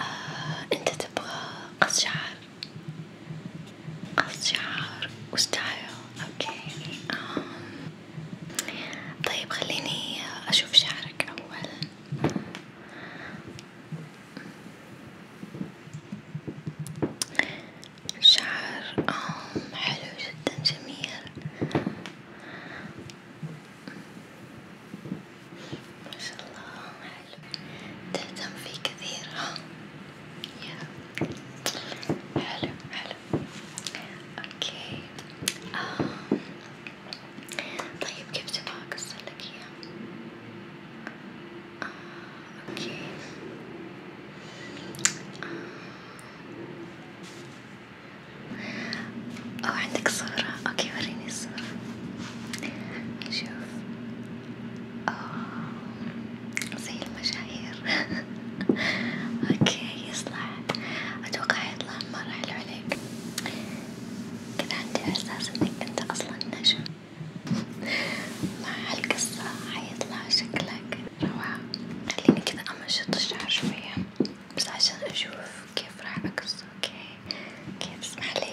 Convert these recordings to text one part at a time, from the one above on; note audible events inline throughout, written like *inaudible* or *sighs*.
آه، انت تبغى قص شعر قص شعر وستايل اوكي آه. طيب خليني اشوف شعرك اول شعر آه، حلو جدا جميل ما شاء الله حلو تهتم فيه كثير ها يا حلو حلو اوكي آه. طيب كيف تبغى اقصر لك اياه؟ آه. اوكي آه. او عندك صورة اوكي وريني الصورة نشوف أوه. زي المشاهير *laughs* اوكي يصلح اتوقع حيطلع مرة حلو عليك كان عندي احساس انك انت اصلا نجم مع هالقصة حيطلع شكلك روعة خليني كذا امشط الشعر شوية بس عشان اشوف كيف راح اقص اوكي اوكي تسمح لي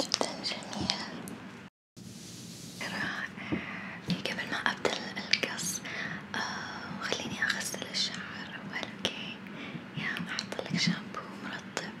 جدا جميل رائع قبل ما أبدأ القص آه، خليني أغسل الشعر أول أوكي يا أحط لك شامبو مرطب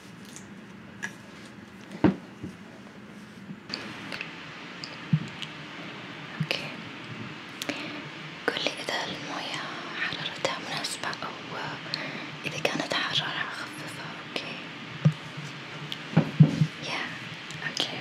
اوكي قولي اذا الموية حرارتها مناسبة او اذا كانت حرارة خفيفة اوكي يا اوكي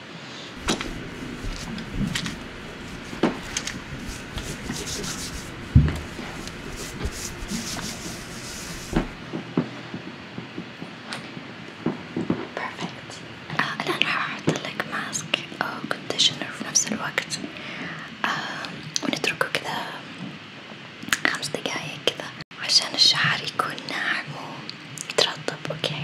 بيرفكت آه الآن حاحط لك ماسك أو كونديشنر في نفس الوقت آه ونتركه كذا خمس دقايق كذا عشان الشعر يكون ناعم ويترطب أوكي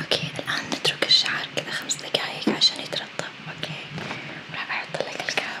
اوكي الان نترك الشعر كذا خمس دقايق عشان يترطب اوكي راح احط لك الكاب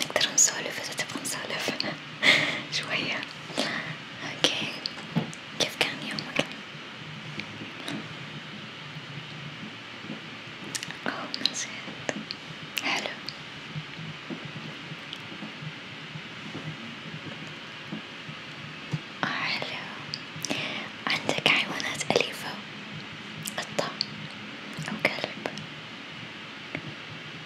نقدر نسولف إذا تبغى نسولف *laughs* شوية، أوكي، كيف كان يومك؟ أوه نسيت، حلو. حلو، عندك حيوانات أليفة؟ قطة أو كلب؟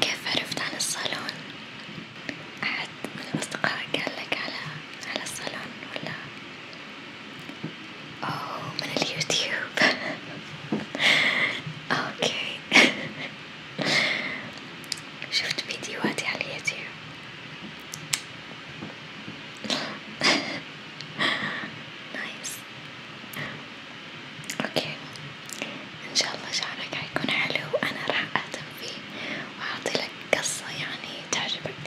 كيف عرفت عن الصالون؟ أحد من الأصدقاء قال لك على على الصالون ولا؟ أوه من اليوتيوب *laughs* أوكي *laughs* شفت فيديوهاتي على اليوتيوب نايس اوكي ان شاء الله شعرك حيكون حلو وانا راح اهتم فيه واعطي لك قصة يعني تعجبك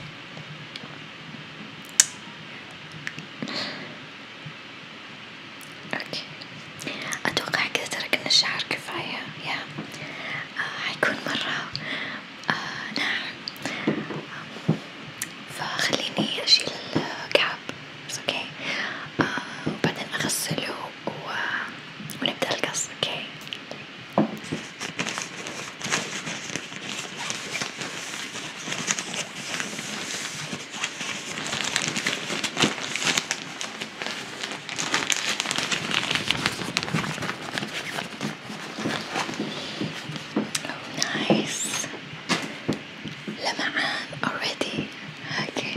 اوكي اتوقع كذا ترى كنا الشعر كفاية يا حيكون مرة آه، ناعم فخليني أشيل الكعب بس اوكي آه، وبعدين أغسله ونبدأ القص اوكي Oh, nice. لمعان already. Okay.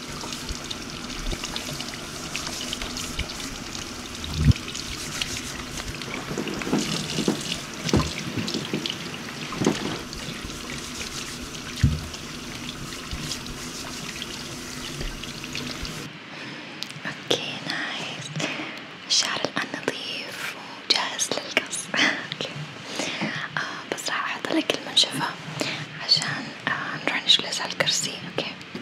اوكي نايس الشعر الان نظيف وجاهز للقص *laughs* اوكي آه بس راح احط لك المنشفة عشان آه نروح نجلس على الكرسي اوكي Okay.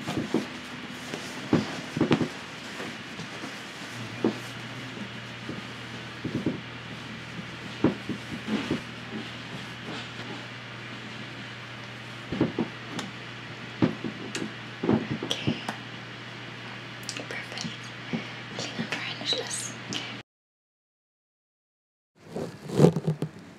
Perfect. Clean and dry and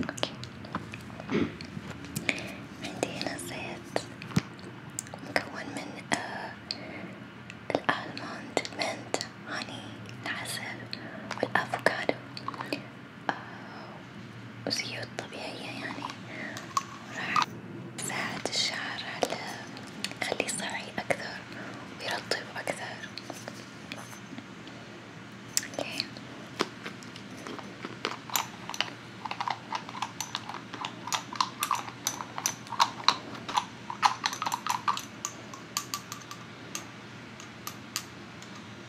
اوكي عندي هنا زيت مكون من آه الالموند، المنت، هاني، العسل والافوكادو وزيوت طبيعية يعني راح تساعد الشعر على يخليه صاحي أكثر ويرطب أكثر اوكي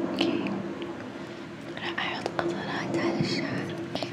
اوكي راح احط قطرات على الشعر اوكي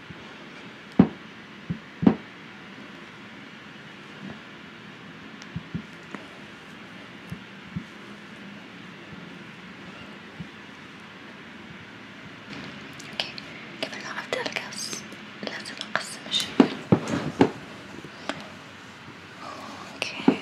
اوكي قبل لا ابدأ القص لازم اقسم الشغل اوكي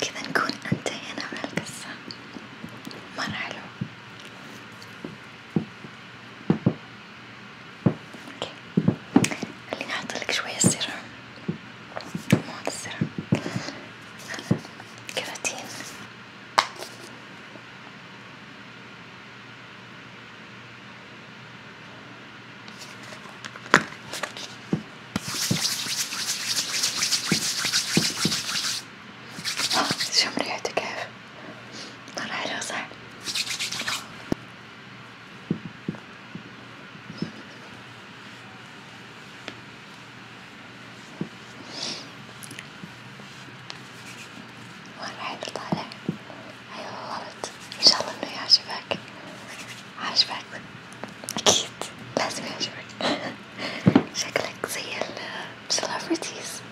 كذا نكون انتهينا من القصة مرة حلو اوكي خليني احطلك شوية سيرم مو هذا السيرم كراتين شم ريحته كيف؟ مرة حلوة صح؟ مرة حلو طالع أيوة غلط إن شاء الله إنه يعجبك عجبك أكيد لازم يعجبك شكلك زي السلافرتيز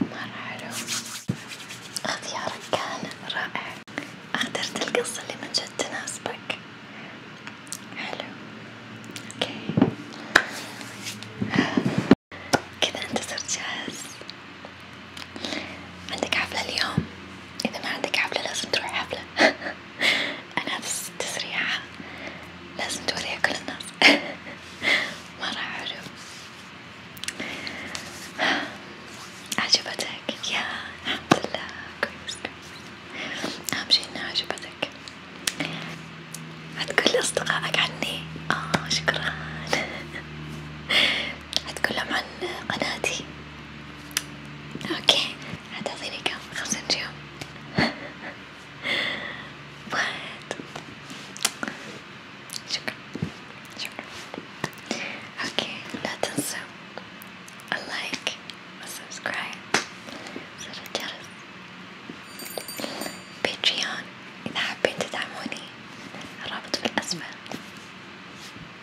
مرة حلو اختيارك كان رائع اخترت القصة اللي من جد تناسبك حلو اوكي كذا انت صرت جاهز عندك حفلة اليوم إذا ما عندك حفلة لازم تروح حفلة *laughs* أنا تسريعة لازم توريها كل الناس *laughs* مرة حلو *sighs* عجبتك يا الحمد لله كويس كويس أهم شي إنها عجبتك هتقول لأصدقائك عني آه شكرا *laughs* هتكلم عن قناتي اوكي هتعطيني كم خمسة نجوم *laughs* واحد شكرا شكرا اوكي لا تنسوا اللايك والسبسكرايب زر الجرس باتريون إذا حابين تدعموني الرابط في الأسفل